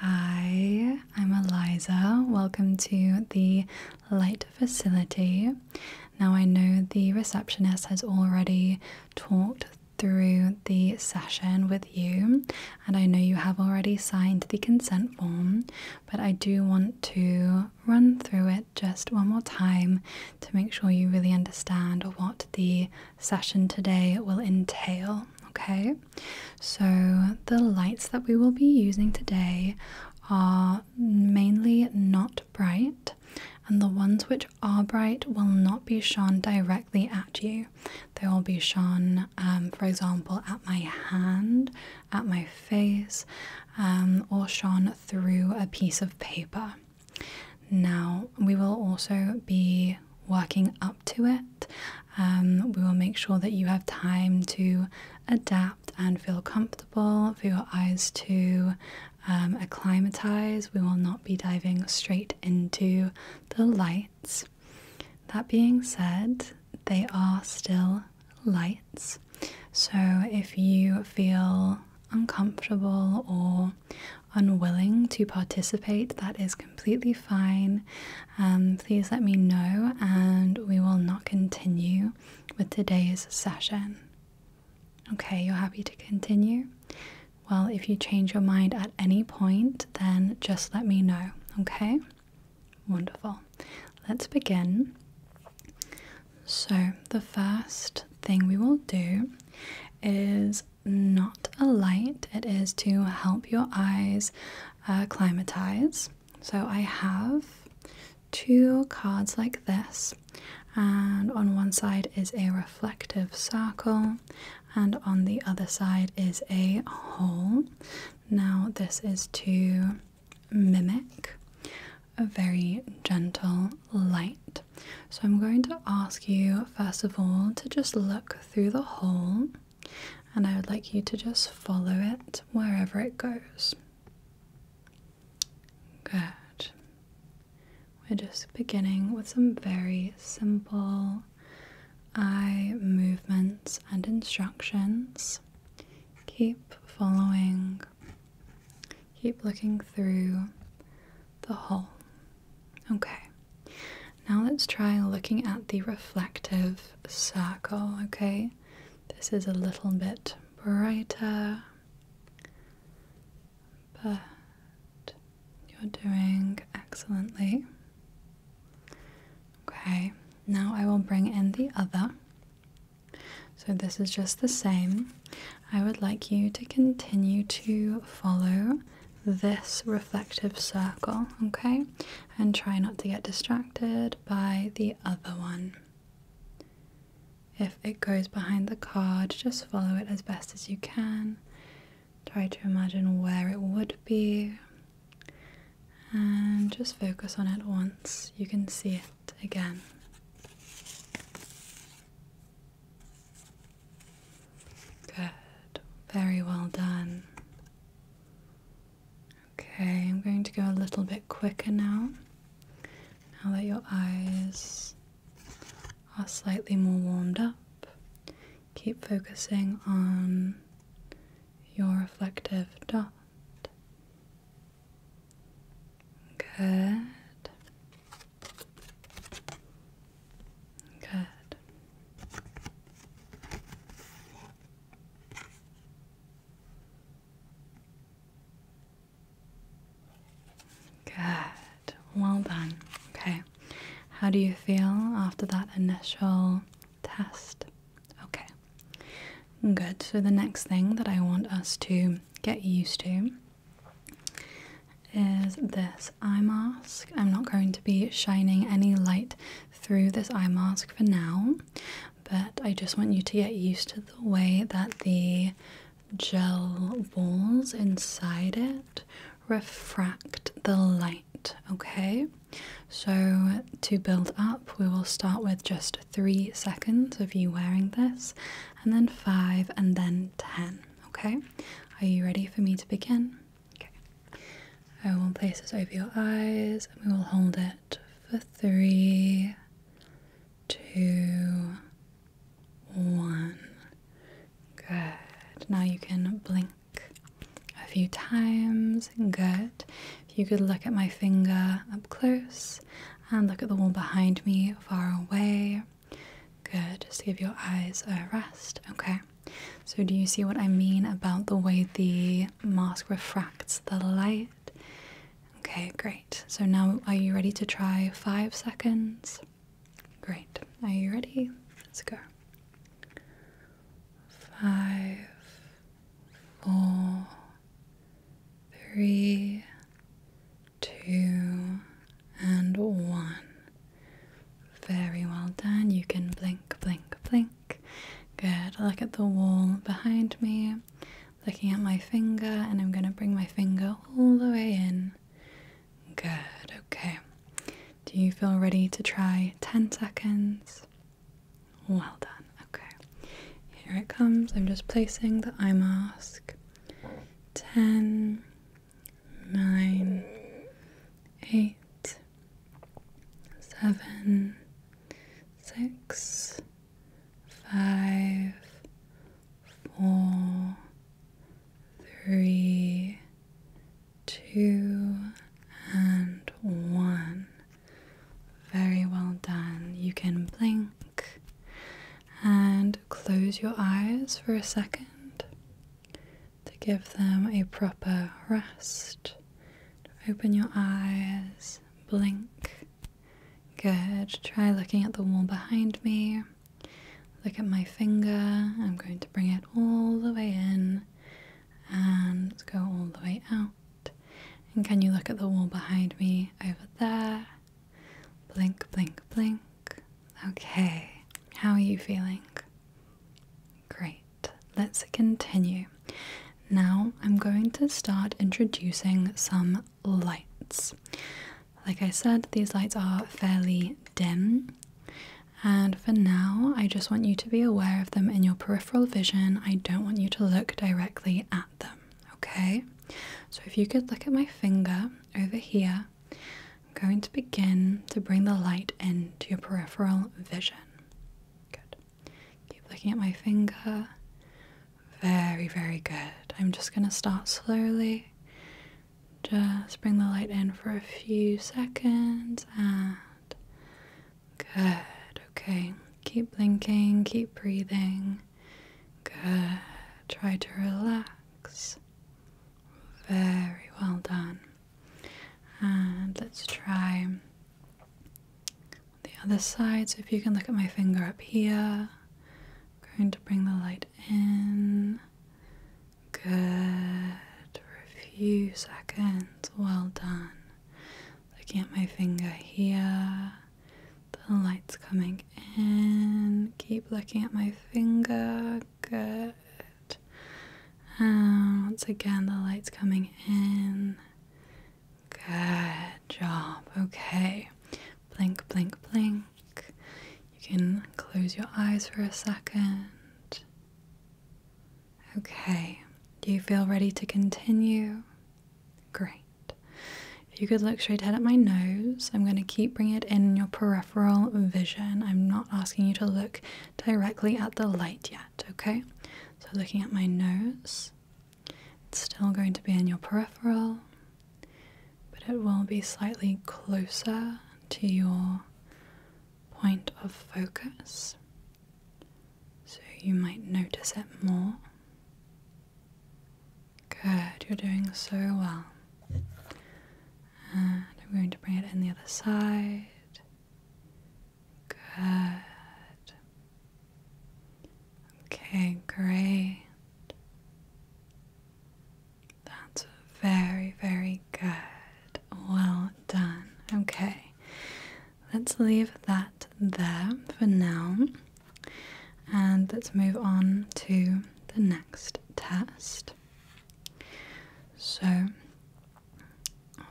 Hi, I'm Eliza. Welcome to the Light Facility. Now, I know the receptionist has already talked through the session with you, and I know you have already signed the consent form, but I do want to run through it just one more time to make sure you really understand what the session today will entail. Okay, so, the lights that we will be using today are mainly not bright, and the ones which are bright will not be shone directly at you. They will be shone, um, for example, at my hand, at my face, um, or shone through a piece of paper. Now, we will also be working up to it. Um, we will make sure that you have time to adapt and feel comfortable for your eyes to um, acclimatize. We will not be diving straight into the lights. That being said, they are still lights. So if you feel uncomfortable or unwilling to participate, that is completely fine. Um, please let me know, and we will not continue with today's session. Okay, you're happy to continue? Well, if you change your mind at any point, then just let me know, okay? Wonderful. Let's begin. So, the first thing we will do is not a light, it is to help your eyes acclimatize. Uh, so I have two cards like this, and on one side is a reflective circle, and on the other side is a hole. Now, this is to mimic a very gentle light. So, I'm going to ask you, first of all, to just look through the hole and I would like you to just follow it wherever it goes. Good. We're just beginning with some very simple eye movements and instructions. Keep following, keep looking through the hole. Okay, now let's try looking at the reflective circle, okay? This is a little bit brighter, but you're doing excellently. Okay, now I will bring in the other. So this is just the same. I would like you to continue to follow this reflective circle, okay? And try not to get distracted by the other one. If it goes behind the card, just follow it as best as you can. Try to imagine where it would be and just focus on it once. You can see it again. Good. Very well done. Okay, I'm going to go a little bit quicker now. Now that your eyes are slightly more warmed up, keep focusing on your reflective dot. Good. Good. Good. Well done. Okay. How do you feel after that initial test? Okay. Good. So, the next thing that I want us to get used to is this eye mask. I'm not going to be shining any light through this eye mask for now, but I just want you to get used to the way that the gel balls inside it refract the light, okay? So, to build up, we will start with just three seconds of you wearing this, and then five, and then ten, okay? Are you ready for me to begin? Okay. I will place this over your eyes and we will hold it for three, two, one. Good. Now you can blink a few times. Good. If you could look at my finger up close and look at the wall behind me far away. Good, just to give your eyes a rest. Okay, so do you see what I mean about the way the mask refracts the light? Okay, great. So now are you ready to try five seconds? Great. Are you ready? Let's go. Five, four, three, two, and one. Very well done. You can blink, blink, blink. Good. Look at the wall behind me. Looking at my finger, and I'm going to bring my finger all the way in. Good. Okay. Do you feel ready to try 10 seconds? Well done. Okay. Here it comes. I'm just placing the eye mask. 10 nine, eight, seven, six, five, four, three, two, and one. Very well done. You can blink and close your eyes for a second to give them a proper rest. Open your eyes, blink. Good. Try looking at the wall behind me. Look at my finger. I'm going to bring it all the way in and go all the way out. And can you look at the wall behind me over there? Blink, blink, blink. Okay, how are you feeling? Great, let's continue. Now I'm going to start introducing some lights. Like I said, these lights are fairly dim, and for now, I just want you to be aware of them in your peripheral vision. I don't want you to look directly at them, okay? So if you could look at my finger over here. I'm going to begin to bring the light into your peripheral vision. Good. Keep looking at my finger. Very, very good. I'm just going to start slowly. Just bring the light in for a few seconds and good. Okay. Keep blinking, keep breathing. Good. Try to relax. Very well done. And let's try the other side. So if you can look at my finger up here, I'm going to bring the light in. Good. a few seconds. Well done. Looking at my finger here. The light's coming in. Keep looking at my finger good. Um, once again, the light's coming in. Good job. Okay. Blink, blink, blink. You can close your eyes for a second. Okay. Do you feel ready to continue? Great. If you could look straight ahead at my nose, I'm going to keep bringing it in your parotid vision. I'm not asking you to look directly at the light yet, okay? So, looking at my nose, it's still going to be in your peripheral, but it will be slightly closer to your point of focus. So, you might notice it more. Good, you're doing so well. And I'm going to bring it in the other side. Good. Okay, great. That's very, very good. Well done. Okay, let's leave that there for now. And let's move on to the next test. So,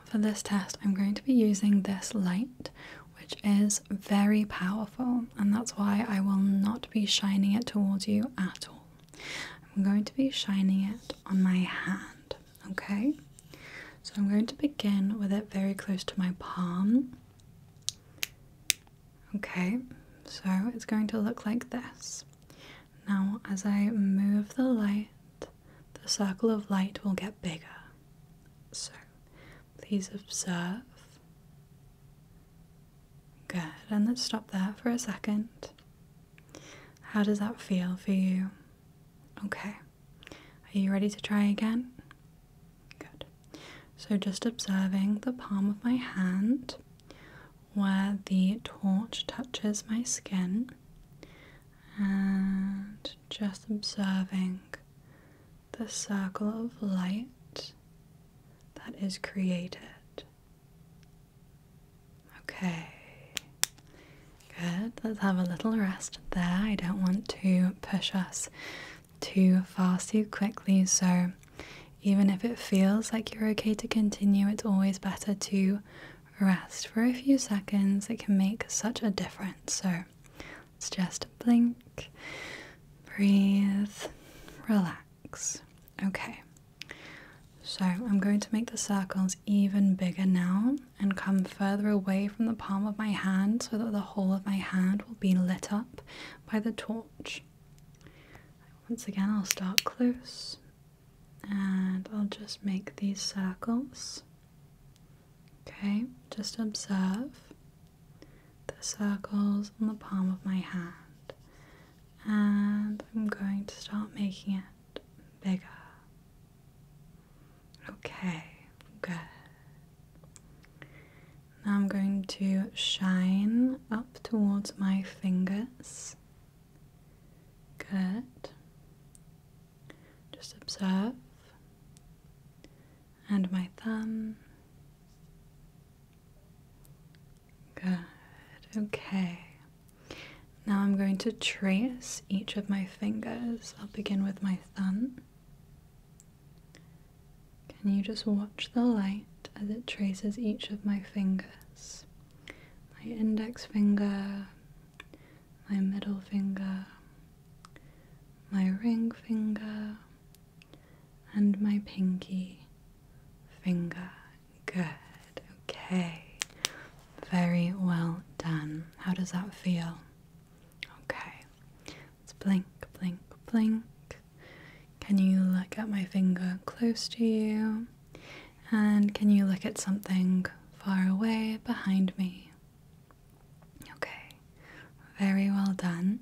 for this test, I'm going to be using this light, which is very powerful, and that's why I will not be shining it towards you at all. I'm going to be shining it on my hand, okay? So, I'm going to begin with it very close to my palm. Okay, so it's going to look like this. Now, as I move the light, the circle of light will get bigger. So, please observe. Good, and let's stop there for a second. How does that feel for you? Okay, are you ready to try again? Good. So, just observing the palm of my hand where the torch touches my skin and just observing the circle of light that is created. Okay, good. Let's have a little rest there. I don't want to push us too far too quickly, so even if it feels like you're okay to continue, it's always better to rest for a few seconds. It can make such a difference. So let's just blink, breathe, relax. Okay. So I'm going to make the circles even bigger now and come further away from the palm of my hand so that the whole of my hand will be lit up by the torch. Once again, I'll start close and I'll just make these circles. Okay, just observe the circles on the palm of my hand, and I'm going to start making it bigger. Okay, good. Now I'm going to shine up towards my fingers. Good. Just observe. And my thumb. Good. Okay. Now I'm going to trace each of my fingers. I'll begin with my thumb. Can you just watch the light as it traces each of my fingers? My index finger, my middle finger, my ring finger, and my pinky finger. Good, okay. Very well done. How does that feel? Okay. Let's blink, blink, blink. Can you look at my finger close to you? And can you look at something far away behind me? Okay, very well done.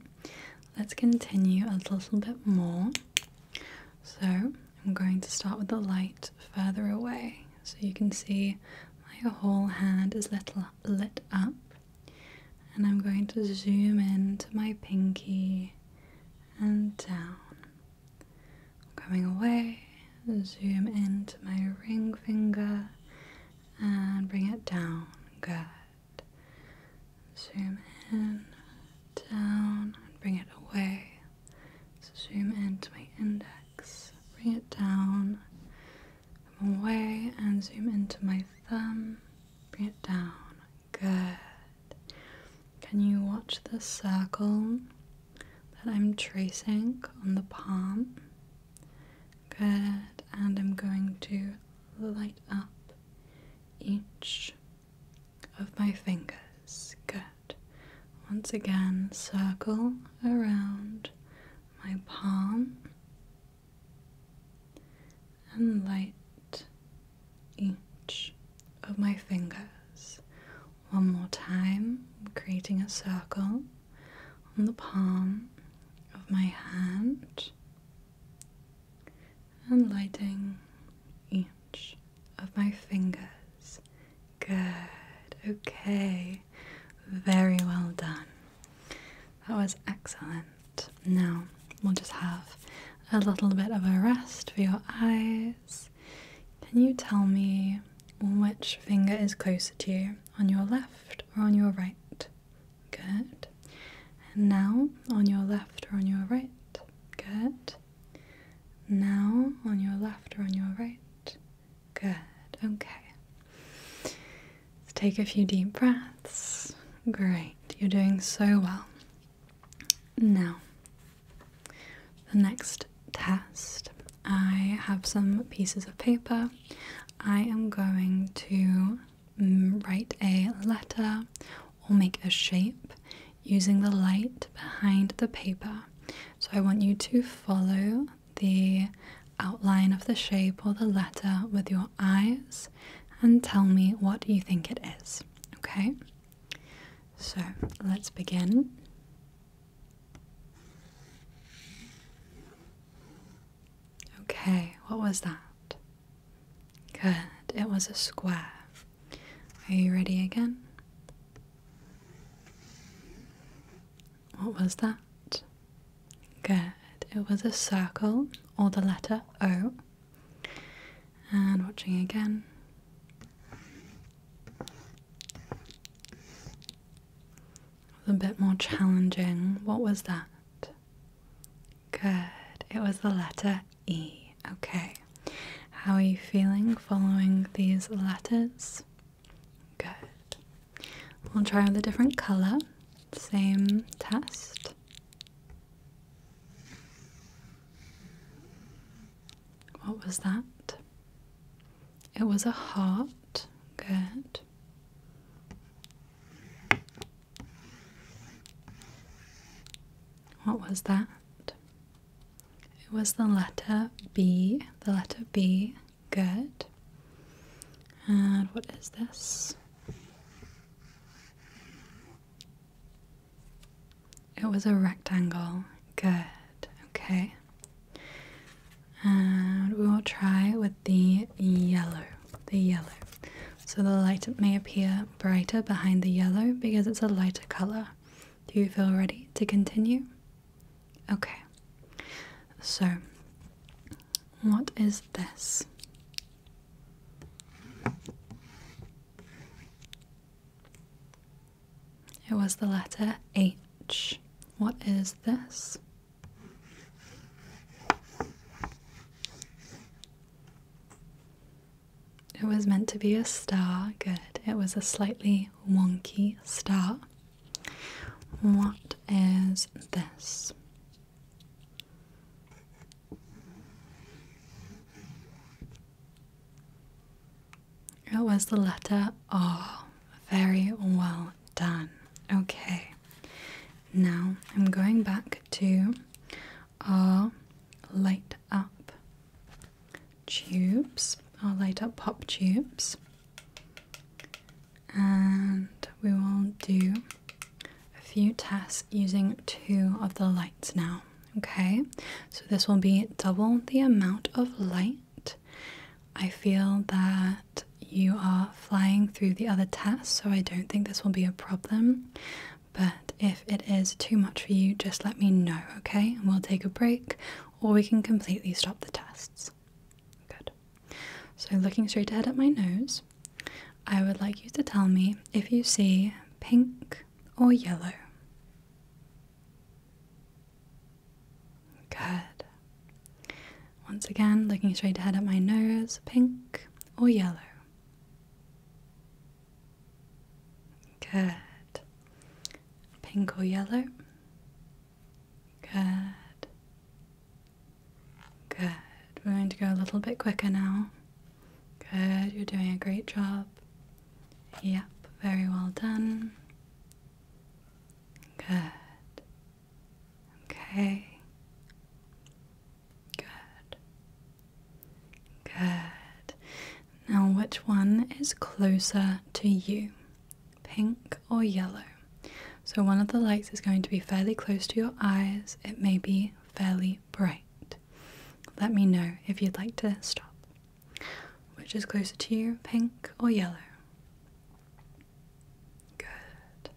Let's continue a little bit more. So, I'm going to start with the light further away so you can see my whole hand is lit, lit up and I'm going to zoom into my pinky and down. Coming away, zoom into my ring finger and bring it down. Good. Zoom in, down, and bring it away. So zoom into my index, bring it down, come away, and zoom into my thumb, bring it down. Good. Can you watch the circle that I'm tracing on the palm? Good. And I'm going to light up each of my fingers. Good. Once again, circle around my palm and light each of my fingers one more time, creating a circle on the palm of my hand and lighting each of my fingers. Good, okay, very well done. That was excellent. Now we'll just have a little bit of a rest for your eyes. Can you tell me which finger is closer to you, on your left or on your right? Good. And now on your left or on your right? Good. Now on your left or on your right? Good. Okay. Let's take a few deep breaths. Great, you're doing so well. Now, the next test. I have some pieces of paper. I am going to mm, write a letter or make a shape using the light behind the paper. So I want you to follow the outline of the shape or the letter with your eyes and tell me what you think it is. Okay? So let's begin. Okay, what was that? Good, it was a square. Are you ready again? What was that? Good. It was a circle or the letter O. And watching again. a bit more challenging. What was that? Good. It was the letter E. Okay. How are you feeling following these letters? Good. We'll try with a different color. Same test. What was that? It was a heart. Good. What was that? It was the letter B. The letter B. Good. And what is this? It was a rectangle. Good. Okay. And we will try with the yellow. The yellow. So the light may appear brighter behind the yellow because it's a lighter color. Do you feel ready to continue? Okay. So what is this? It was the letter H. What is this? It was meant to be a star. Good. It was a slightly wonky star. What is this? It was the letter R. Very well done. Okay. Now I'm going back to our light up tubes, our light up pop tubes and we will do a few tests using two of the lights now. Okay, so this will be double the amount of light. I feel that you are flying through the other tests, so I don't think this will be a problem. But if it is too much for you, just let me know, okay? And we'll take a break or we can completely stop the tests. Good. So, looking straight ahead at my nose, I would like you to tell me if you see pink or yellow. Good. Once again, looking straight ahead at my nose, pink or yellow. Good. Pink or yellow? Good. Good. We're going to go a little bit quicker now. Good. You're doing a great job. Yep. Very well done. Good. Okay. Good. Good. Now, which one is closer to you? Pink or yellow? So, one of the lights is going to be fairly close to your eyes. It may be fairly bright. Let me know if you'd like to stop. Which is closer to you, pink or yellow? Good.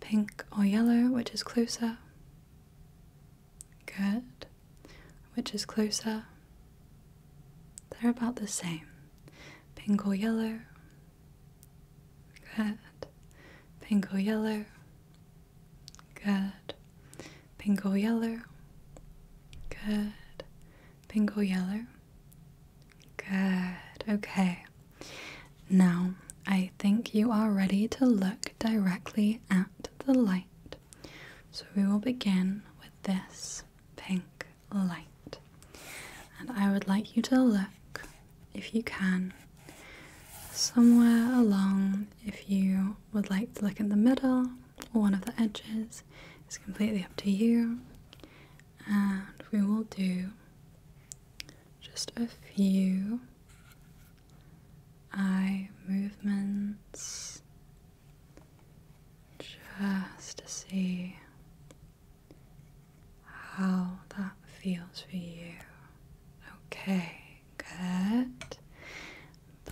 Pink or yellow, which is closer? Good. Which is closer? They're about the same. Pink or yellow? Good. Pingo yellow. Good. Pingo yellow. Good. Pingo yellow. Good. Okay. Now, I think you are ready to look directly at the light. So we will begin with this pink light. And I would like you to look, if you can, somewhere along. If you would like to look in the middle or one of the edges, it's completely up to you. And we will do just a few eye movements just to see how that feels for you. Okay, good.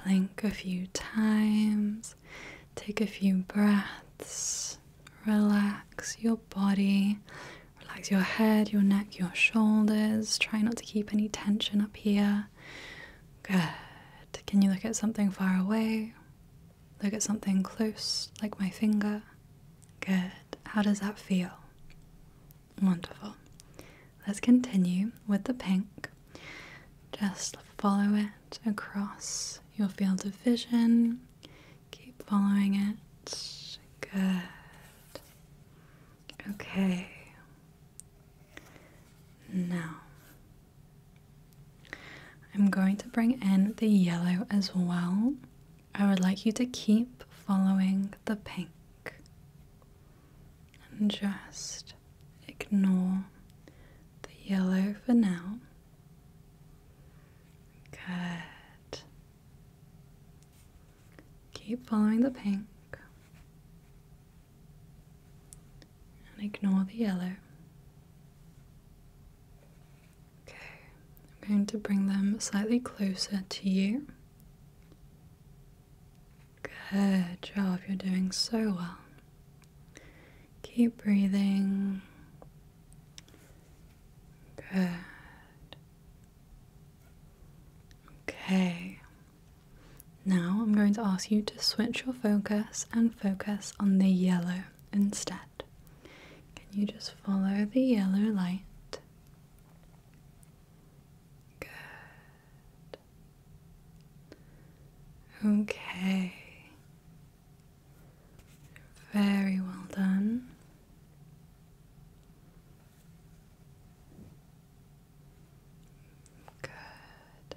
Blink a few times, take a few breaths, relax your body, relax your head, your neck, your shoulders. Try not to keep any tension up here. Good. Can you look at something far away? Look at something close, like my finger. Good. How does that feel? Wonderful. Let's continue with the pink. Just follow it across your field of vision. Keep following it. Good. Okay. Now, I'm going to bring in the yellow as well. I would like you to keep following the pink and just ignore the yellow for now. Good. Keep following the pink and ignore the yellow. Okay, I'm going to bring them slightly closer to you. Good job, you're doing so well. Keep breathing. Good. Okay. Now I'm going to ask you to switch your focus and focus on the yellow instead. Can you just follow the yellow light? Good. Okay. Very well done. Good.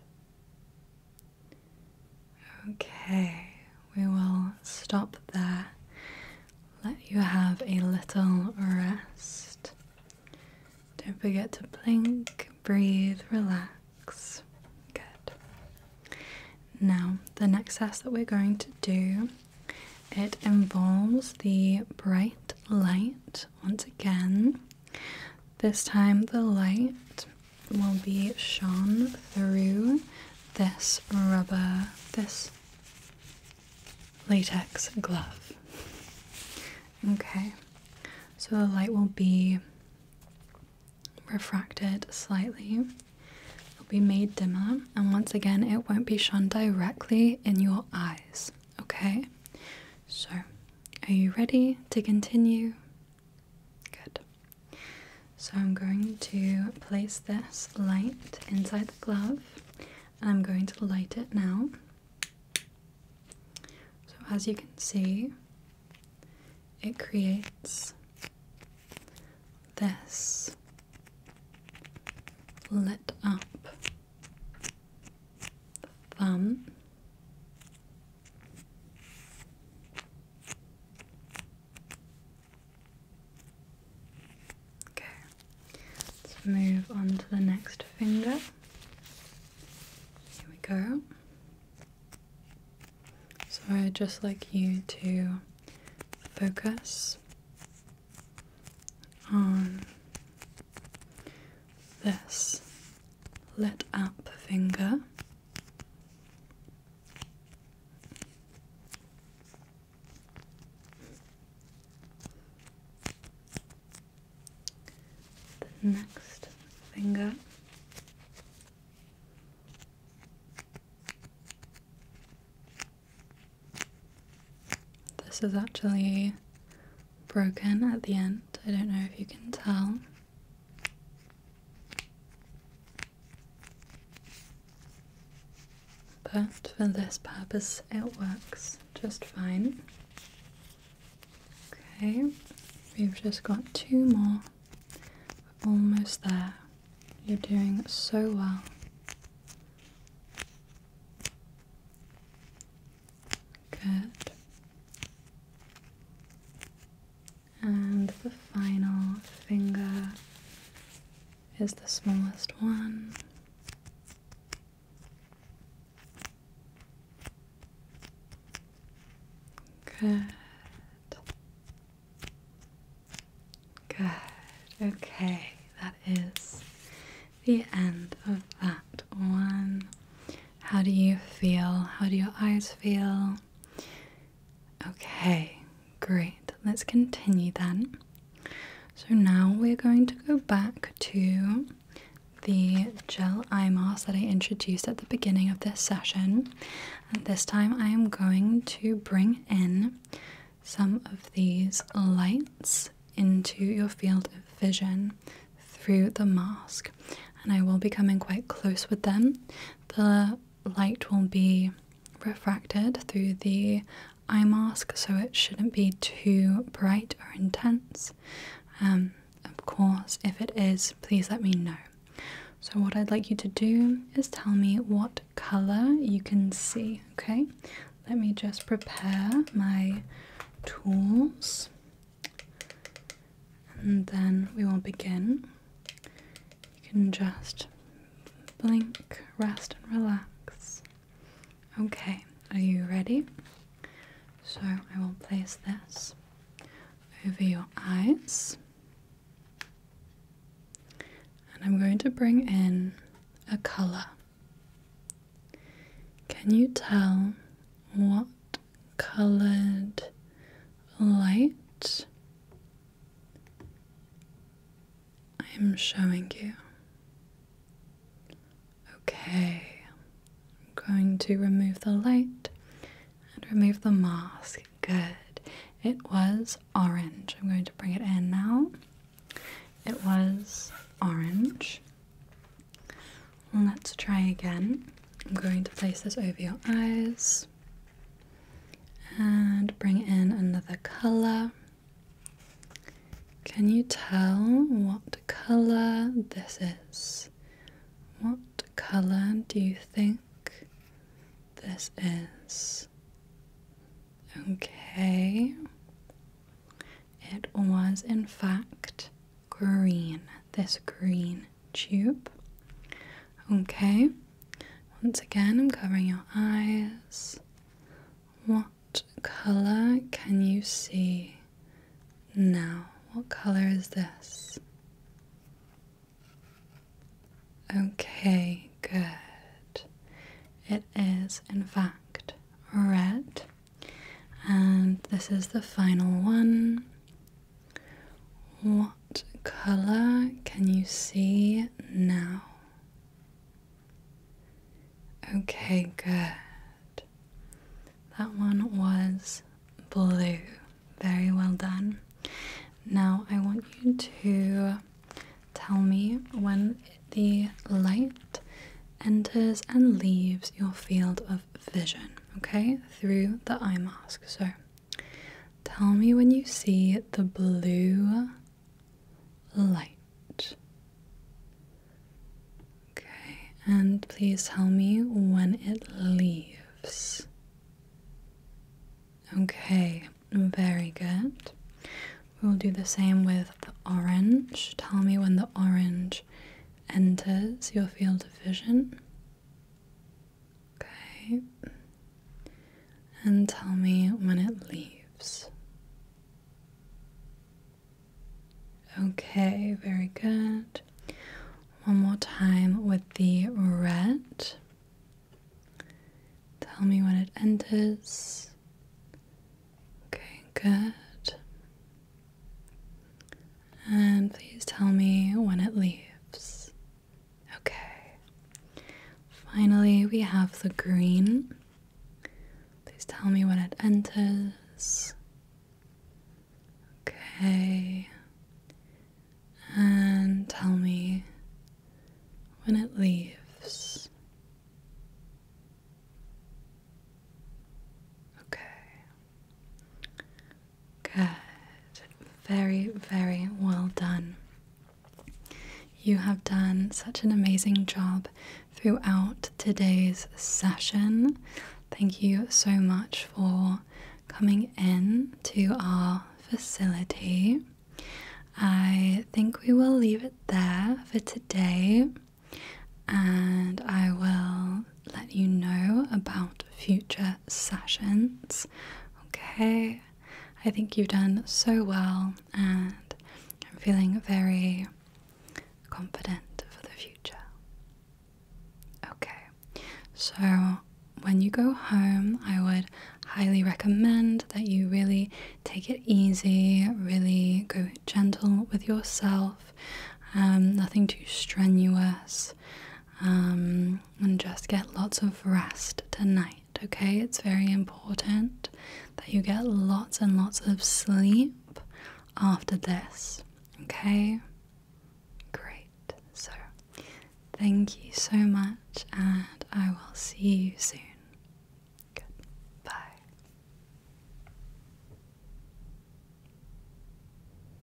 Okay, we will stop there. Let you have a little rest. Don't forget to blink, breathe, relax. Good. Now, the next test that we're going to do, it involves the bright light once again. This time the light will be shone through this rubber, this latex glove. Okay, so the light will be refracted slightly, it'll be made dimmer, and once again, it won't be shone directly in your eyes. Okay, so are you ready to continue? Good. So I'm going to place this light inside the glove and I'm going to light it now. So as you can see, it creates this lit up thumb. Okay, let's move on to the next finger. Here we go. So I'd just like you to focus on this lit up finger the next finger. This is actually broken at the end. I don't know if you can tell. But for this purpose, it works just fine. Okay, we've just got two more. We're almost there. You're doing so well. Good. And the final finger is the smallest one. Good. Good. Okay, that is the end of that one. How do you feel? How do your eyes feel? Okay, great. Let's continue then. So now we're going to go back to the gel eye mask that I introduced at the beginning of this session. this time I am going to bring in some of these lights into your field of vision through the mask. And I will be coming quite close with them. The light will be refracted through the eye mask, so it shouldn't be too bright or intense. Um, of course, if it is, please let me know. So, what I'd like you to do is tell me what color you can see, okay? Let me just prepare my tools and then we will begin. You can just blink, rest, and relax. Okay, are you ready? So I will place this over your eyes, and I'm going to bring in a colour. Can you tell what coloured light I am showing you. Okay, I'm going to remove the light and remove the mask. Good. It was orange. I'm going to bring it in now. It was orange. Let's try again. I'm going to place this over your eyes and bring in another color. Can you tell what color this is? What color do you think this is? Okay. It was, in fact, green. This green tube. Okay, once again, I'm covering your eyes. What color can you see now? What color is this? Okay, good. It is, in fact, red. And this is the final one. What color can you see now? Okay, good. That one was blue. Very well done. Now I want you to tell me when the light enters and leaves your field of vision, okay? Through the eye mask. So Tell me when you see the blue light. Okay, and please tell me when it leaves. Okay, very good. We'll do the same with the orange. Tell me when the orange enters your field of vision. Okay. And tell me when it leaves. Okay, very good. One more time with the red. Tell me when it enters. Okay, good. And please tell me when it leaves. Okay. Finally, we have the green. Please tell me when it enters. Okay. And tell me when it leaves. Okay. Good. Very, very well done. You have done such an amazing job throughout today's session. Thank you so much for coming in to our facility. I think we will leave it there for today, and I will let you know about future sessions. Okay, I think you've done so well, and I'm feeling very confident for the future. Okay, so when you go home, I would highly recommend that you really take it easy, really go gentle with yourself, um, nothing too strenuous. Um, and just get lots of rest tonight, okay? It's very important that you get lots and lots of sleep after this, okay? Great. So, thank you so much, and I will see you soon. Goodbye.